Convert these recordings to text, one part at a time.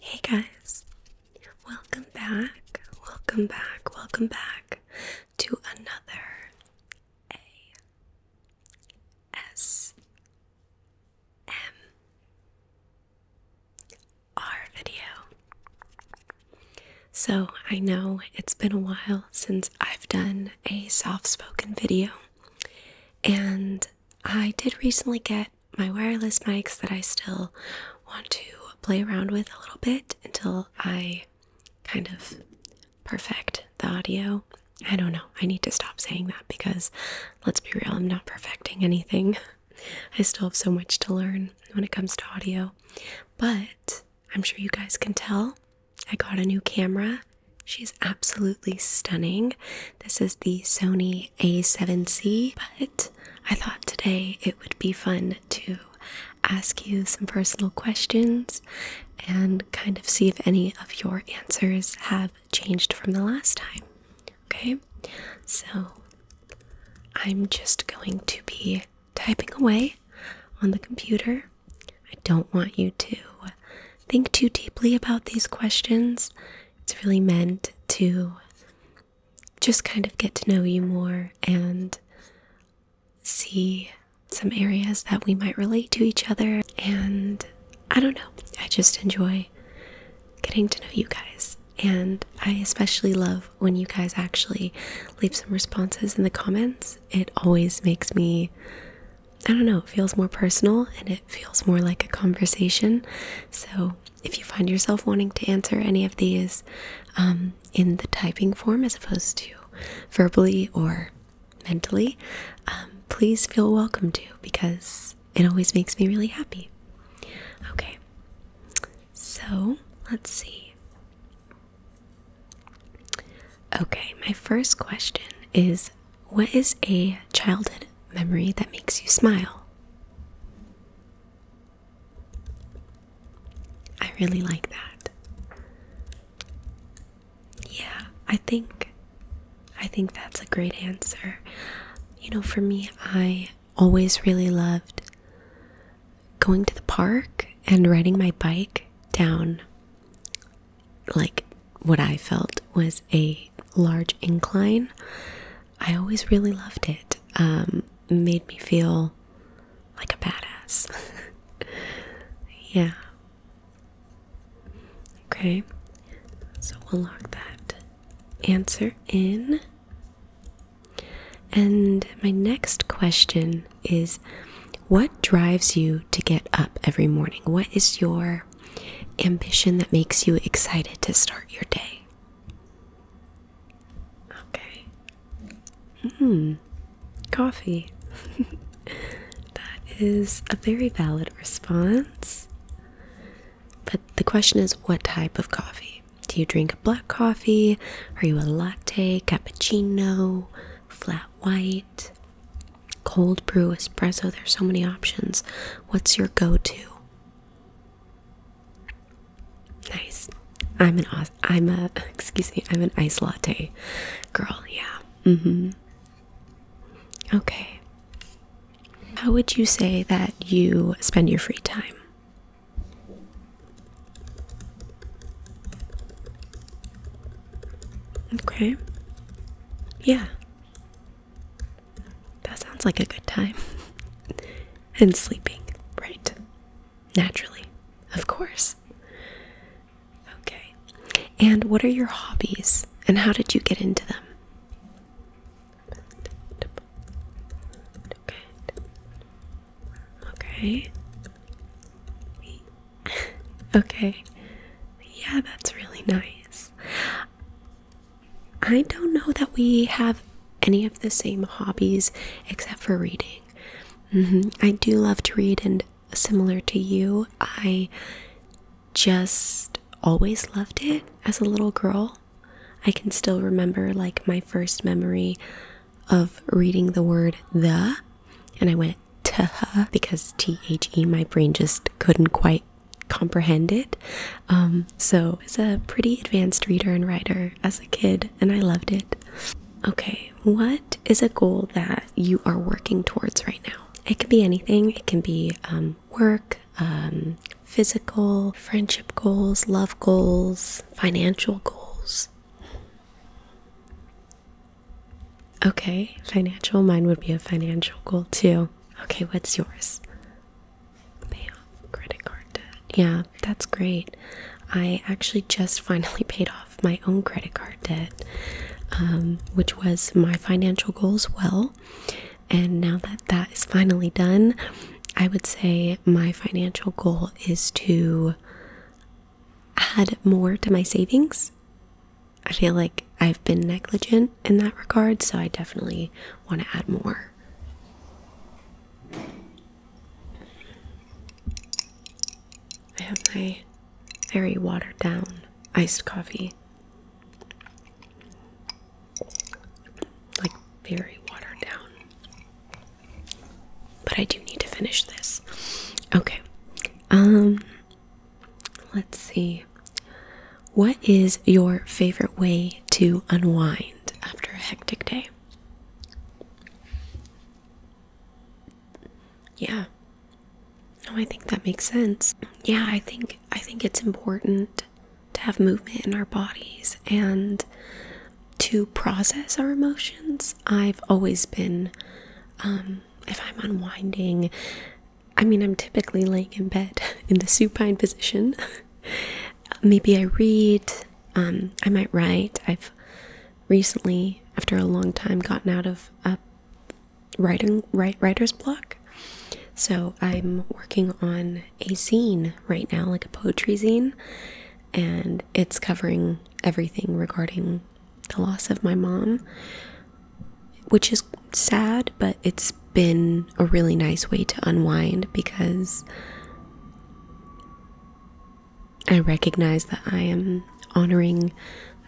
Hey guys, welcome back, welcome back, welcome back to another A S M R video. So, I know it's been a while since I've done a soft spoken video, and I did recently get my wireless mics that I still want to play around with a little bit until I kind of perfect the audio. I don't know. I need to stop saying that because let's be real, I'm not perfecting anything. I still have so much to learn when it comes to audio. But I'm sure you guys can tell I got a new camera. She's absolutely stunning. This is the Sony a7C, but I thought today it would be fun to ask you some personal questions and kind of see if any of your answers have changed from the last time. Okay, so I'm just going to be typing away on the computer. I don't want you to think too deeply about these questions. It's really meant to just kind of get to know you more and see some areas that we might relate to each other. And I don't know, I just enjoy getting to know you guys. And I especially love when you guys actually leave some responses in the comments. It always makes me I don't know, it feels more personal and it feels more like a conversation. So if you find yourself wanting to answer any of these um, in the typing form as opposed to verbally or mentally, um, please feel welcome to because it always makes me really happy. Okay, so let's see. Okay, my first question is what is a childhood memory that makes you smile? I really like that. Yeah, I think I think that's a great answer. You know, for me, I always really loved going to the park and riding my bike down like what I felt was a large incline. I always really loved it. Um, made me feel like a badass. yeah. Okay, so we'll lock that answer in. And my next question is what drives you to get up every morning? What is your ambition that makes you excited to start your day. Okay. Hmm. Coffee. that is a very valid response. But the question is what type of coffee? Do you drink black coffee? Are you a latte, cappuccino, flat white? Cold brew, espresso, there's so many options. What's your go to? Nice. I'm an I'm a excuse me, I'm an ice latte girl, yeah. Mm-hmm. Okay. How would you say that you spend your free time? Okay. Yeah. That sounds like a good time. and sleeping, right? Naturally, of course. Okay. And what are your hobbies and how did you get into them? Okay. okay. Yeah, that's really nice. I don't know that we have any of the same hobbies except for reading. Mm-hmm. I do love to read, and similar to you, I just always loved it as a little girl. I can still remember like my first memory of reading the word the, and I went Teha because T H E, my brain just couldn't quite comprehend it. Um, so it's a pretty advanced reader and writer as a kid, and I loved it. Okay, what is a goal that you are working towards right now? It can be anything. It can be um, work, um, physical, friendship goals, love goals, financial goals. Okay, financial. Mine would be a financial goal too. Okay, what's yours? Pay off credit card debt. Yeah, that's great. I actually just finally paid off my own credit card debt, um, which was my financial goal as well. And now that that is finally done, I would say my financial goal is to add more to my savings. I feel like I've been negligent in that regard, so I definitely want to add more. I have my very watered down iced coffee. Like, very watered down. But I do need to finish this. Okay. Um, Let's see. What is your favorite way to unwind after a hectic day? Yeah. No, I think that makes sense. Yeah, I think I think it's important to have movement in our bodies and to process our emotions. I've always been um, if I'm unwinding, I mean, I'm typically laying in bed in the supine position. Maybe I read, um, I might write. I've recently, after a long time, gotten out of a writing writer's block. So I'm working on a scene right now, like a poetry scene, and it's covering everything regarding the loss of my mom, which is sad, but it's been a really nice way to unwind because I recognize that I am honoring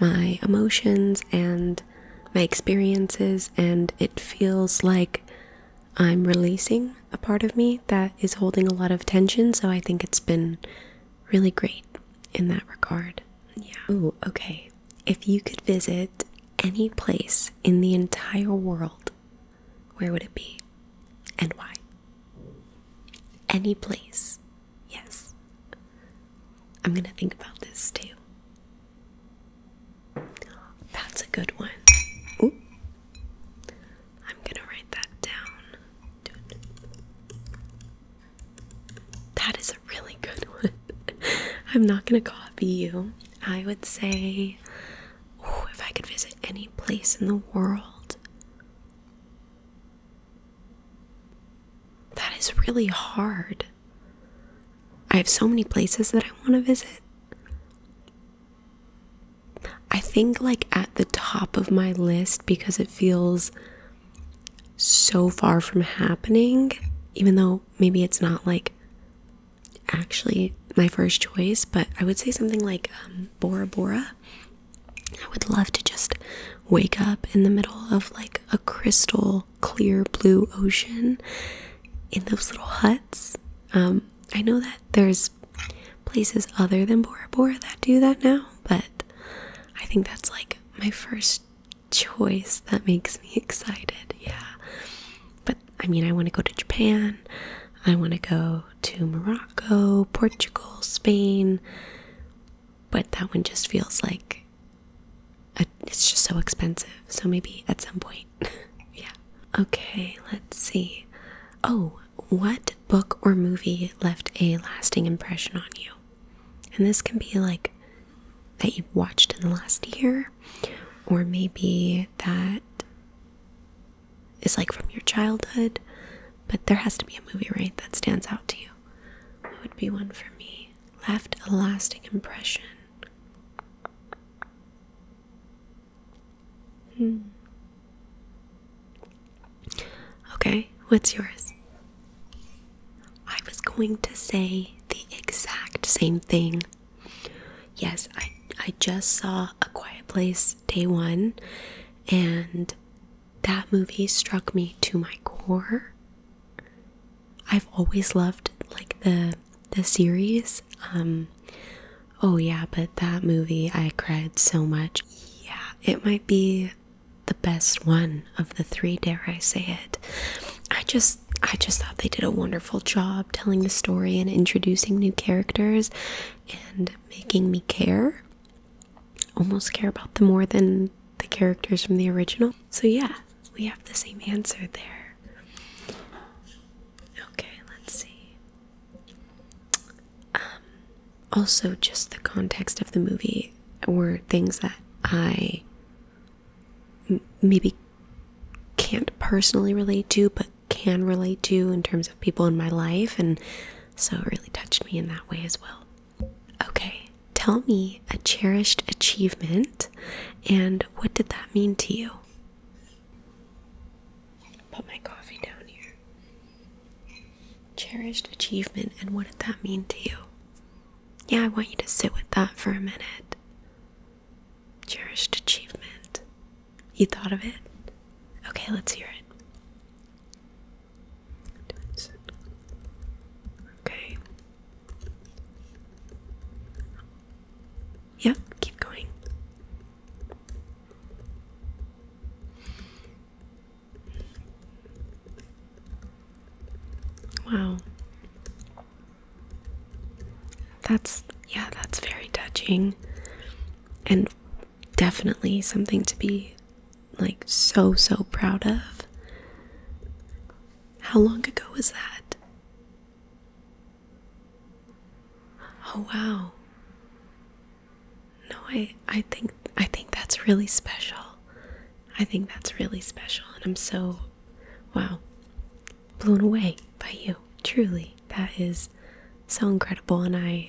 my emotions and my experiences, and it feels like I'm releasing a part of me that is holding a lot of tension. So I think it's been really great in that regard. Yeah. Oh, okay. If you could visit any place in the entire world, where would it be and why? Any place. Yes. I'm going to think about this too. That's a good one. Ooh. I'm going to write that down. That is a really good one. I'm not gonna copy you. I would say, if I could visit any place in the world. That is really hard. I have so many places that I want to visit. I think, like, at the top of my list because it feels so far from happening, even though maybe it's not like actually my first choice, but I would say something like um, Bora Bora. I would love to just wake up in the middle of like a crystal clear blue ocean in those little huts. Um, I know that there's places other than Bora Bora that do that now, but I think that's like my first choice that makes me excited. Yeah. But I mean, I want to go to Japan. I want to go to Morocco, Portugal, Spain. But that one just feels like it's just so expensive. So maybe at some point. yeah. Okay, let's see. Oh, what book or movie left a lasting impression on you? And this can be like that you watched in the last year, or maybe that is like from your childhood, but there has to be a movie, right, that stands out to you. What would be one for me? Left a lasting impression. Hmm. Okay, what's yours? I was going to say the exact same thing. Yes, I I just saw A Quiet Place Day 1 and that movie struck me to my core. I've always loved like the the series. Um oh yeah, but that movie I cried so much. Yeah, it might be the best one of the three, dare I say it. I just I just thought they did a wonderful job telling the story and introducing new characters and making me care. Almost care about them more than the characters from the original. So yeah, we have the same answer there. Okay, let's see. Um, also, just the context of the movie were things that I maybe can't personally relate to, but can relate to in terms of people in my life, and so it really touched me in that way as well. Okay, tell me a cherished achievement and what did that mean to you? Put my coffee down here. Cherished achievement, and what did that mean to you? Yeah, I want you to sit with that for a minute. Cherished achievement. You thought of it? Okay, let's hear it. Okay. Yep, keep going. Wow. That's, yeah, that's very touching. And definitely something to be like so, so proud of. How long ago was that? Oh, wow. No, I I think I think that's really special. I think that's really special and I'm so wow blown away by you. Truly. That is so incredible and I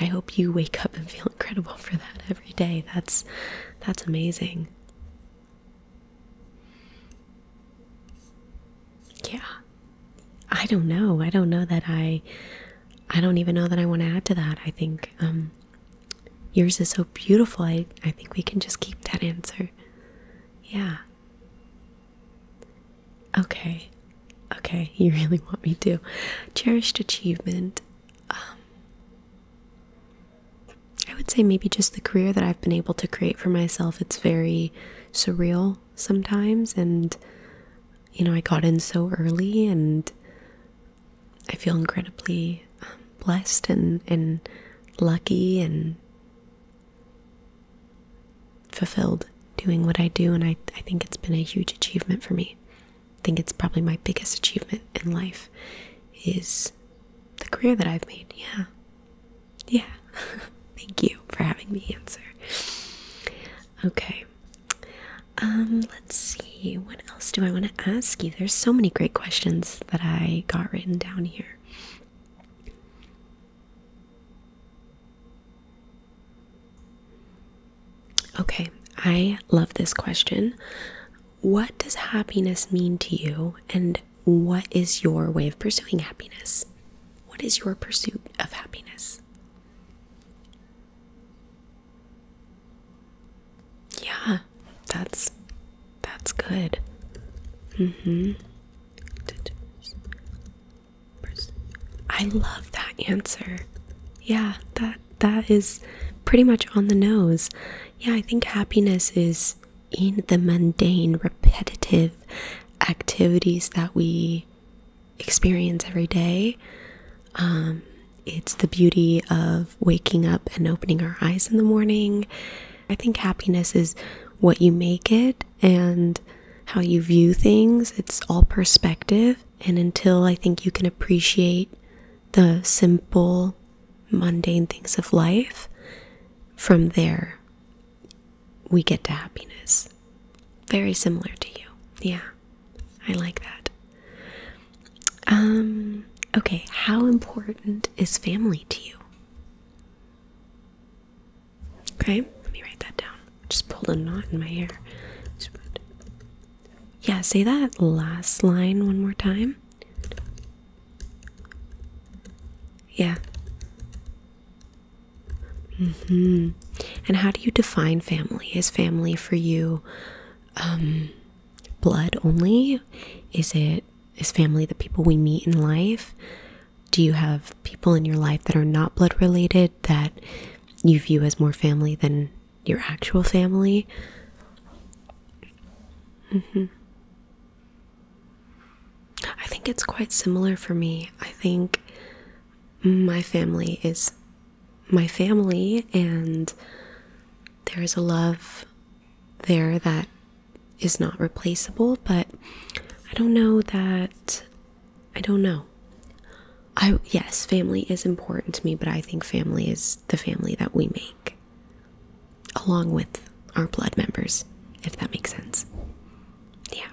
I hope you wake up and feel incredible for that every day. That's that's amazing yeah i don't know i don't know that i i don't even know that i want to add to that i think um yours is so beautiful i i think we can just keep that answer yeah okay okay you really want me to cherished achievement um I would say maybe just the career that I've been able to create for myself. It's very surreal sometimes and you know I got in so early and I feel incredibly um, blessed and and lucky and fulfilled doing what I do and I I think it's been a huge achievement for me. I think it's probably my biggest achievement in life is the career that I've made. Yeah. Yeah. Thank you for having me answer. Okay. Um, let's see. What else do I want to ask you? There's so many great questions that I got written down here. Okay, I love this question. What does happiness mean to you, and what is your way of pursuing happiness? What is your pursuit of happiness? Yeah, that's that's good. Mm-hmm. I love that answer. Yeah, that that is pretty much on the nose. Yeah, I think happiness is in the mundane, repetitive activities that we experience every day. Um, it's the beauty of waking up and opening our eyes in the morning. I think happiness is what you make it and how you view things. It's all perspective. And until I think you can appreciate the simple, mundane things of life, from there, we get to happiness. Very similar to you. Yeah, I like that. Um, okay, how important is family to you? Okay, let me write that down. Just pulled a knot in my hair. Yeah, say that last line one more time. Yeah. Mm-hmm. And how do you define family? Is family for you um, blood only? Is it is family the people we meet in life? Do you have people in your life that are not blood related that you view as more family than your actual family? Mm-hmm. I think it's quite similar for me. I think my family is my family, and there is a love there that is not replaceable, but I don't know that. I don't know. I yes, family is important to me, but I think family is the family that we make along with our blood members, if that makes sense. Yeah.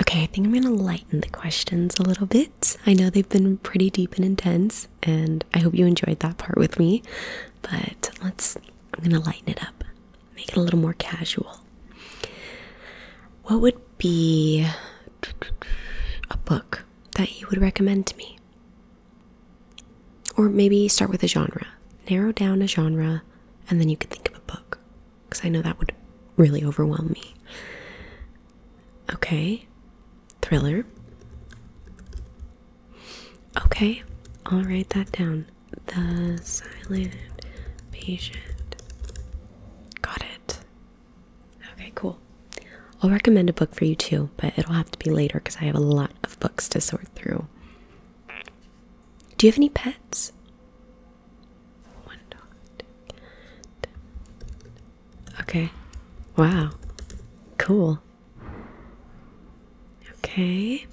Okay, I think I'm gonna lighten the questions a little bit. I know they've been pretty deep and intense, and I hope you enjoyed that part with me, but let's, I'm gonna lighten it up, make it a little more casual. What would be a book that you would recommend to me? Or maybe start with a genre. Narrow down a genre and then you can think of a book. Because I know that would really overwhelm me. Okay. Thriller. Okay. I'll write that down. The silent patient. Got it. Okay, cool. I'll recommend a book for you too, but it'll have to be later because I have a lot of books to sort through. Do you have any pets? One dog. Okay. Wow. Cool. Okay.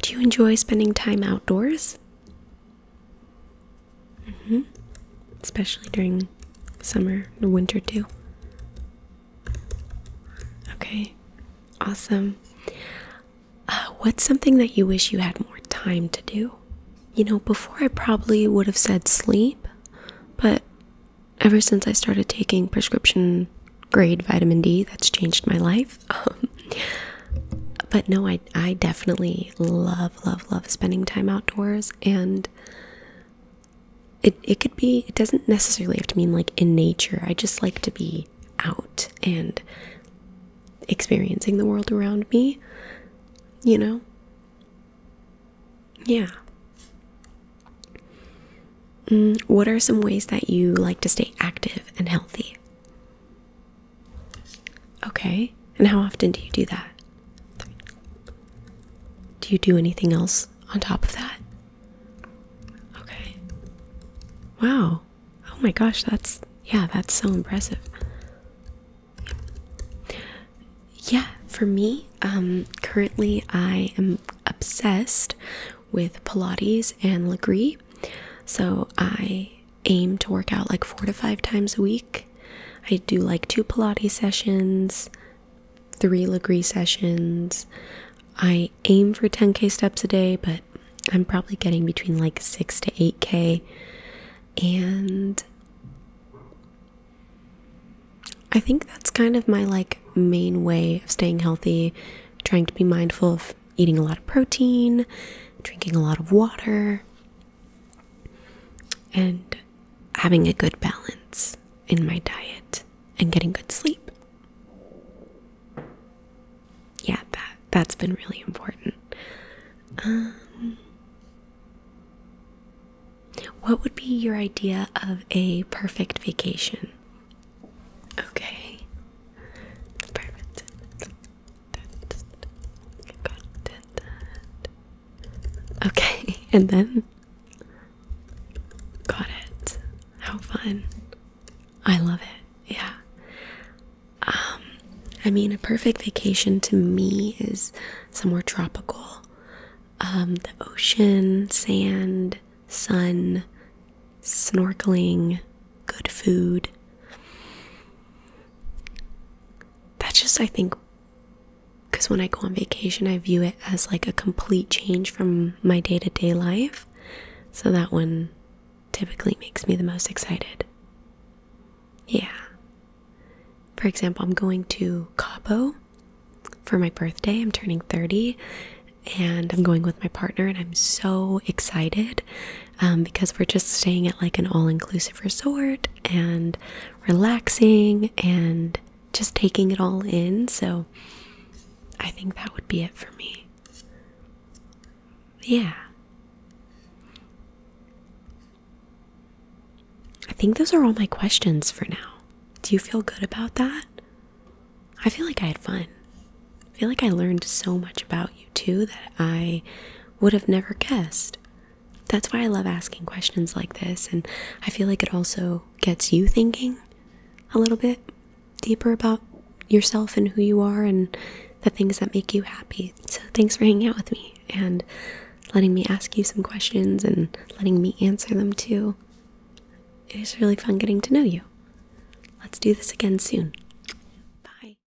Do you enjoy spending time outdoors? -hmm. Especially during summer and winter, too. Okay, awesome. Uh, what's something that you wish you had more time to do? You know, before I probably would have said sleep, but ever since I started taking prescription grade vitamin D, that's changed my life. Um, but no, I, I definitely love, love, love spending time outdoors and it it could be it doesn't necessarily have to mean like in nature. I just like to be out and experiencing the world around me, you know. Yeah. Mm, what are some ways that you like to stay active and healthy? Okay. And how often do you do that? Do you do anything else on top of that? Okay. Wow. Oh my gosh, that's yeah, that's so impressive. Yeah, for me, um, currently I am obsessed with Pilates and Legree. So I aim to work out like four to five times a week. I do like two Pilates sessions, three Legree sessions. I aim for 10k steps a day, but I'm probably getting between like 6 to 8k. And I think that's kind of my like main way of staying healthy, trying to be mindful of eating a lot of protein, drinking a lot of water, and having a good balance in my diet and getting good sleep. Yeah, that that's been really important. Um, what would be your idea of a perfect vacation? Okay. Okay, and then got it. How fun. I love it. Yeah. Um I mean a perfect vacation to me is somewhere tropical. Um the ocean, sand, sun, snorkeling, good food that's just I think because when I go on vacation, I view it as like a complete change from my day to day life. So that one typically makes me the most excited. Yeah. For example, I'm going to Cabo for my birthday. I'm turning 30 and I'm going with my partner, and I'm so excited um, because we're just staying at like an all inclusive resort and relaxing and just taking it all in. So I think that would be it for me. Yeah. I think those are all my questions for now. Do you feel good about that? I feel like I had fun. I feel like I learned so much about you too that I would have never guessed. That's why I love asking questions like this, and I feel like it also gets you thinking a little bit deeper about yourself and who you are and the things that make you happy. So, thanks for hanging out with me and letting me ask you some questions and letting me answer them too. It was really fun getting to know you. Let's do this again soon. Bye.